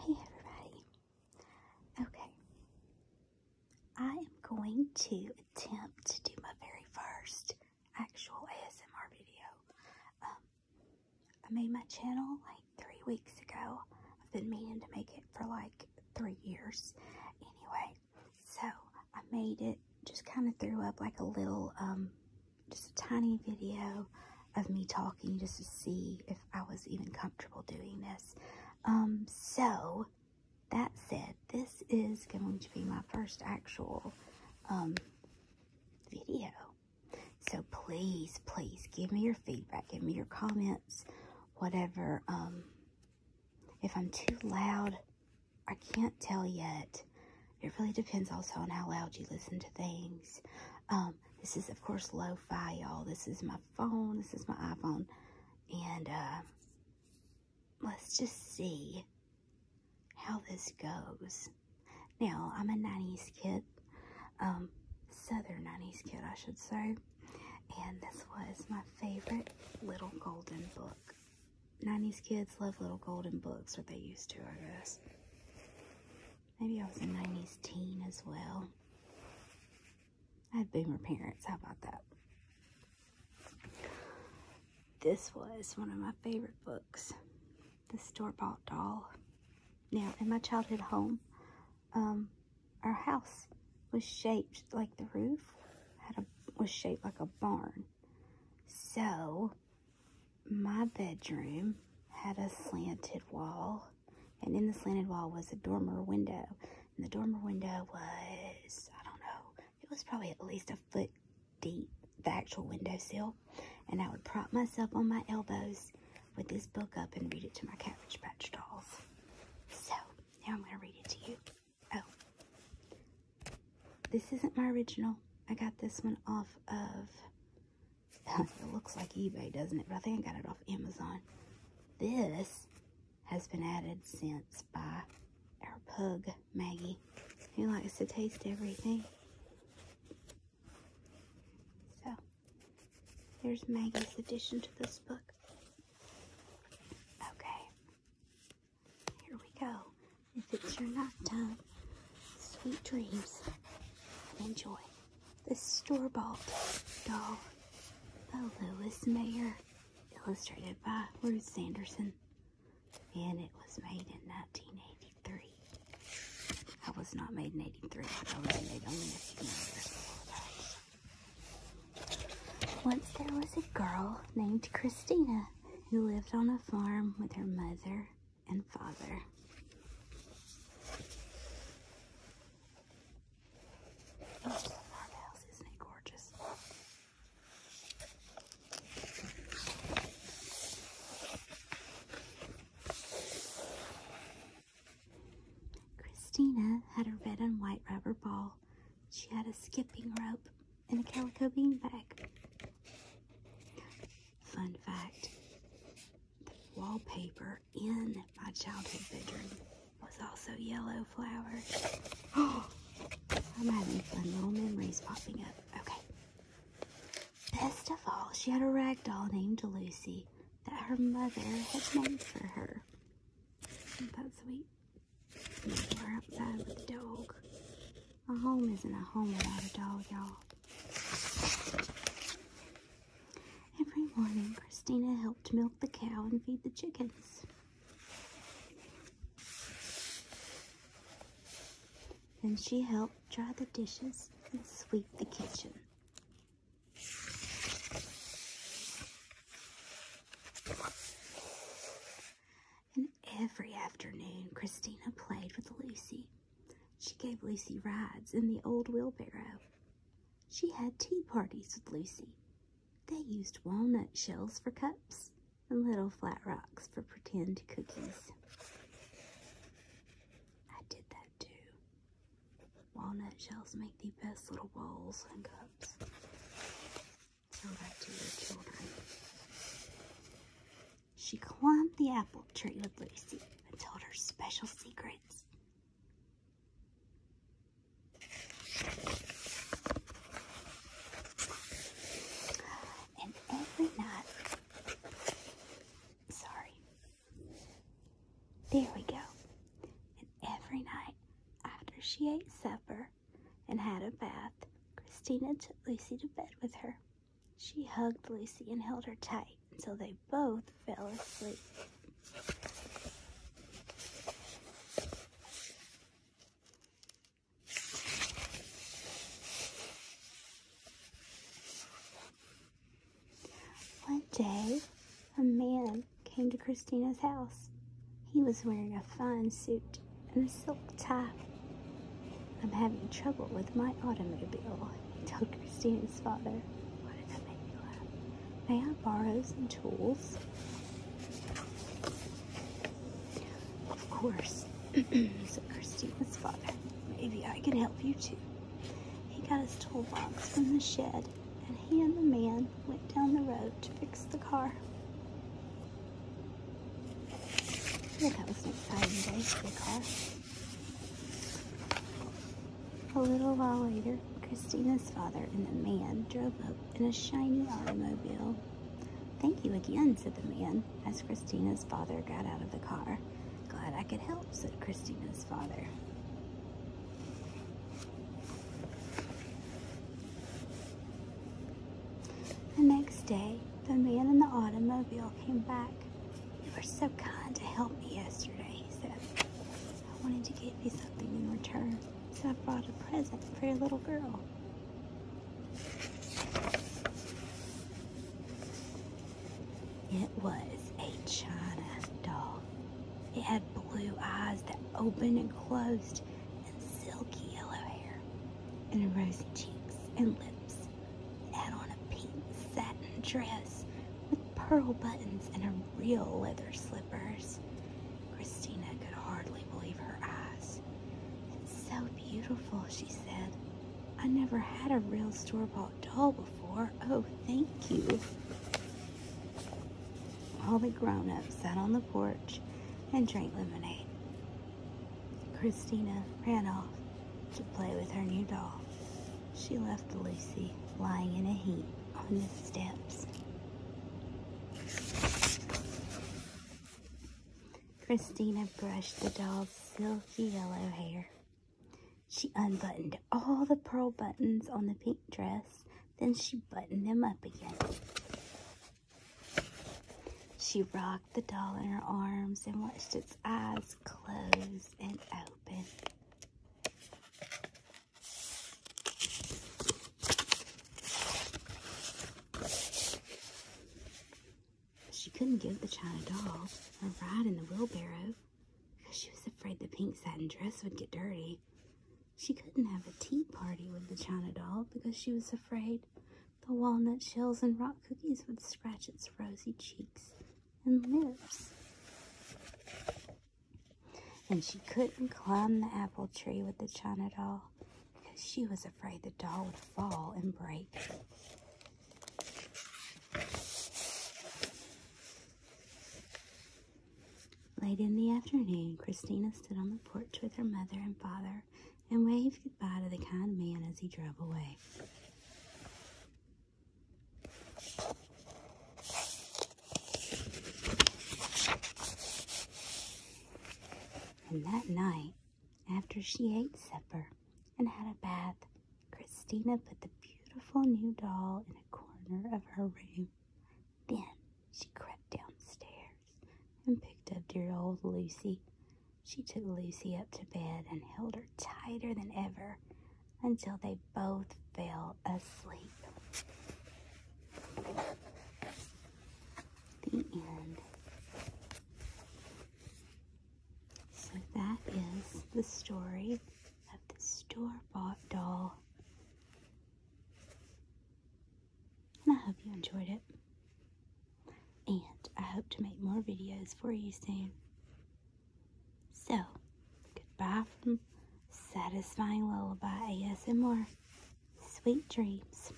Hey everybody. Okay. I am going to attempt to do my very first actual ASMR video. Um, I made my channel like three weeks ago. I've been meaning to make it for like three years. Anyway, so I made it, just kind of threw up like a little um, just a tiny video of me talking just to see if I was even comfortable doing this. Um, so, that said, this is going to be my first actual um, video. So please, please give me your feedback, give me your comments, whatever. Um, if I'm too loud, I can't tell yet. It really depends also on how loud you listen to things. Um, this is, of course, lo fi, y'all. This is my phone. This is my iPhone. And uh, let's just see how this goes. Now, I'm a 90s kid, um, Southern 90s kid, I should say. And this was my favorite little golden book. 90s kids love little golden books, or they used to, I guess. Maybe I was a 90s teen as well. I had boomer parents. How about that? This was one of my favorite books. The store-bought doll. Now, in my childhood home, um, our house was shaped like the roof had a was shaped like a barn so, my bedroom had a slanted wall, and in the slanted wall was a dormer window. And the dormer window was, I don't know, it was probably at least a foot deep, the actual window sill. And I would prop myself on my elbows with this book up and read it to my Cabbage Patch dolls. So, now I'm going to read it to you. Oh, this isn't my original. I got this one off of, it looks like eBay, doesn't it? But I think I got it off Amazon. This has been added since by our pug, Maggie, He likes to taste everything. So, there's Maggie's addition to this book. Okay, here we go. If it's your night time, sweet dreams. Enjoy. This store-bought doll the Lewis Mayer, illustrated by Ruth Sanderson, and it was made in 1983. I was not made in 83, I was made only a few years before Once there was a girl named Christina who lived on a farm with her mother and father. Oh, farmhouse, isn't it gorgeous? Christina had a red and white rubber ball. She had a skipping rope in a calico bean bag. Fun fact the wallpaper in my childhood bedroom was also yellow flowers. Oh, I'm having fun little memories popping up. Okay. Best of all, she had a rag doll named Lucy that her mother had made for her. Isn't that sweet? We're outside with the dog. A home isn't a home without a dog, y'all. Every morning, Christina helped milk the cow and feed the chickens. Then she helped dry the dishes and sweep the kitchen. And every afternoon, Christina played with Lucy. She gave Lucy rides in the old wheelbarrow. She had tea parties with Lucy. They used walnut shells for cups and little flat rocks for pretend cookies. I did that too. Walnut shells make the best little bowls and cups. She climbed the apple tree with Lucy and told her special secrets. And every night, sorry, there we go. And every night, after she ate supper and had a bath, Christina took Lucy to bed with her. She hugged Lucy and held her tight until they both fell asleep. One day, a man came to Christina's house. He was wearing a fine suit and a silk tie. I'm having trouble with my automobile, he told Christina's father. What did that make me laugh? May I borrow some tools? Of course, said Christina's father. Maybe I can help you too. He got his toolbox from the shed and he and the man went down the road to fix the car. Yeah, that was an exciting day for the car. A little while later, Christina's father and the man drove up in a shiny automobile. Thank you again, said the man, as Christina's father got out of the car. Glad I could help, said Christina's father. The next day, the man in the automobile came back. You were so kind to help me yesterday, he said. I wanted to give you something in return, so I brought a present for your little girl. It was a China doll. It had blue eyes that opened and closed, and silky yellow hair, and rosy cheeks and lips. It had on a pink satin dress with pearl buttons and real leather slippers. Christina could hardly believe her eyes. It's so beautiful, she said. I never had a real store bought doll before. Oh, thank you. All the grown-ups sat on the porch and drank lemonade. Christina ran off to play with her new doll. She left Lucy lying in a heap on the steps. Christina brushed the doll's silky yellow hair. She unbuttoned all the pearl buttons on the pink dress, then she buttoned them up again. She rocked the doll in her arms and watched its eyes close and open. She couldn't give the china doll a ride in the wheelbarrow because She was afraid the pink satin dress would get dirty. She couldn't have a tea party with the china doll because she was afraid the walnut shells and rock cookies would scratch its rosy cheeks and lips. And she couldn't climb the apple tree with the china doll because she was afraid the doll would fall and break. Late in the afternoon, Christina stood on the porch with her mother and father and waved goodbye to the kind man as he drove away. And that night, after she ate supper and had a bath, Christina put the beautiful new doll in a corner of her room. Then she crept downstairs and picked up dear old Lucy. She took Lucy up to bed and held her tighter than ever until they both fell asleep. The end. So that is the story of the store-bought doll. And I hope you enjoyed it. And I hope to make more videos for you soon. So, goodbye from Satisfying Lullaby ASMR. Sweet dreams.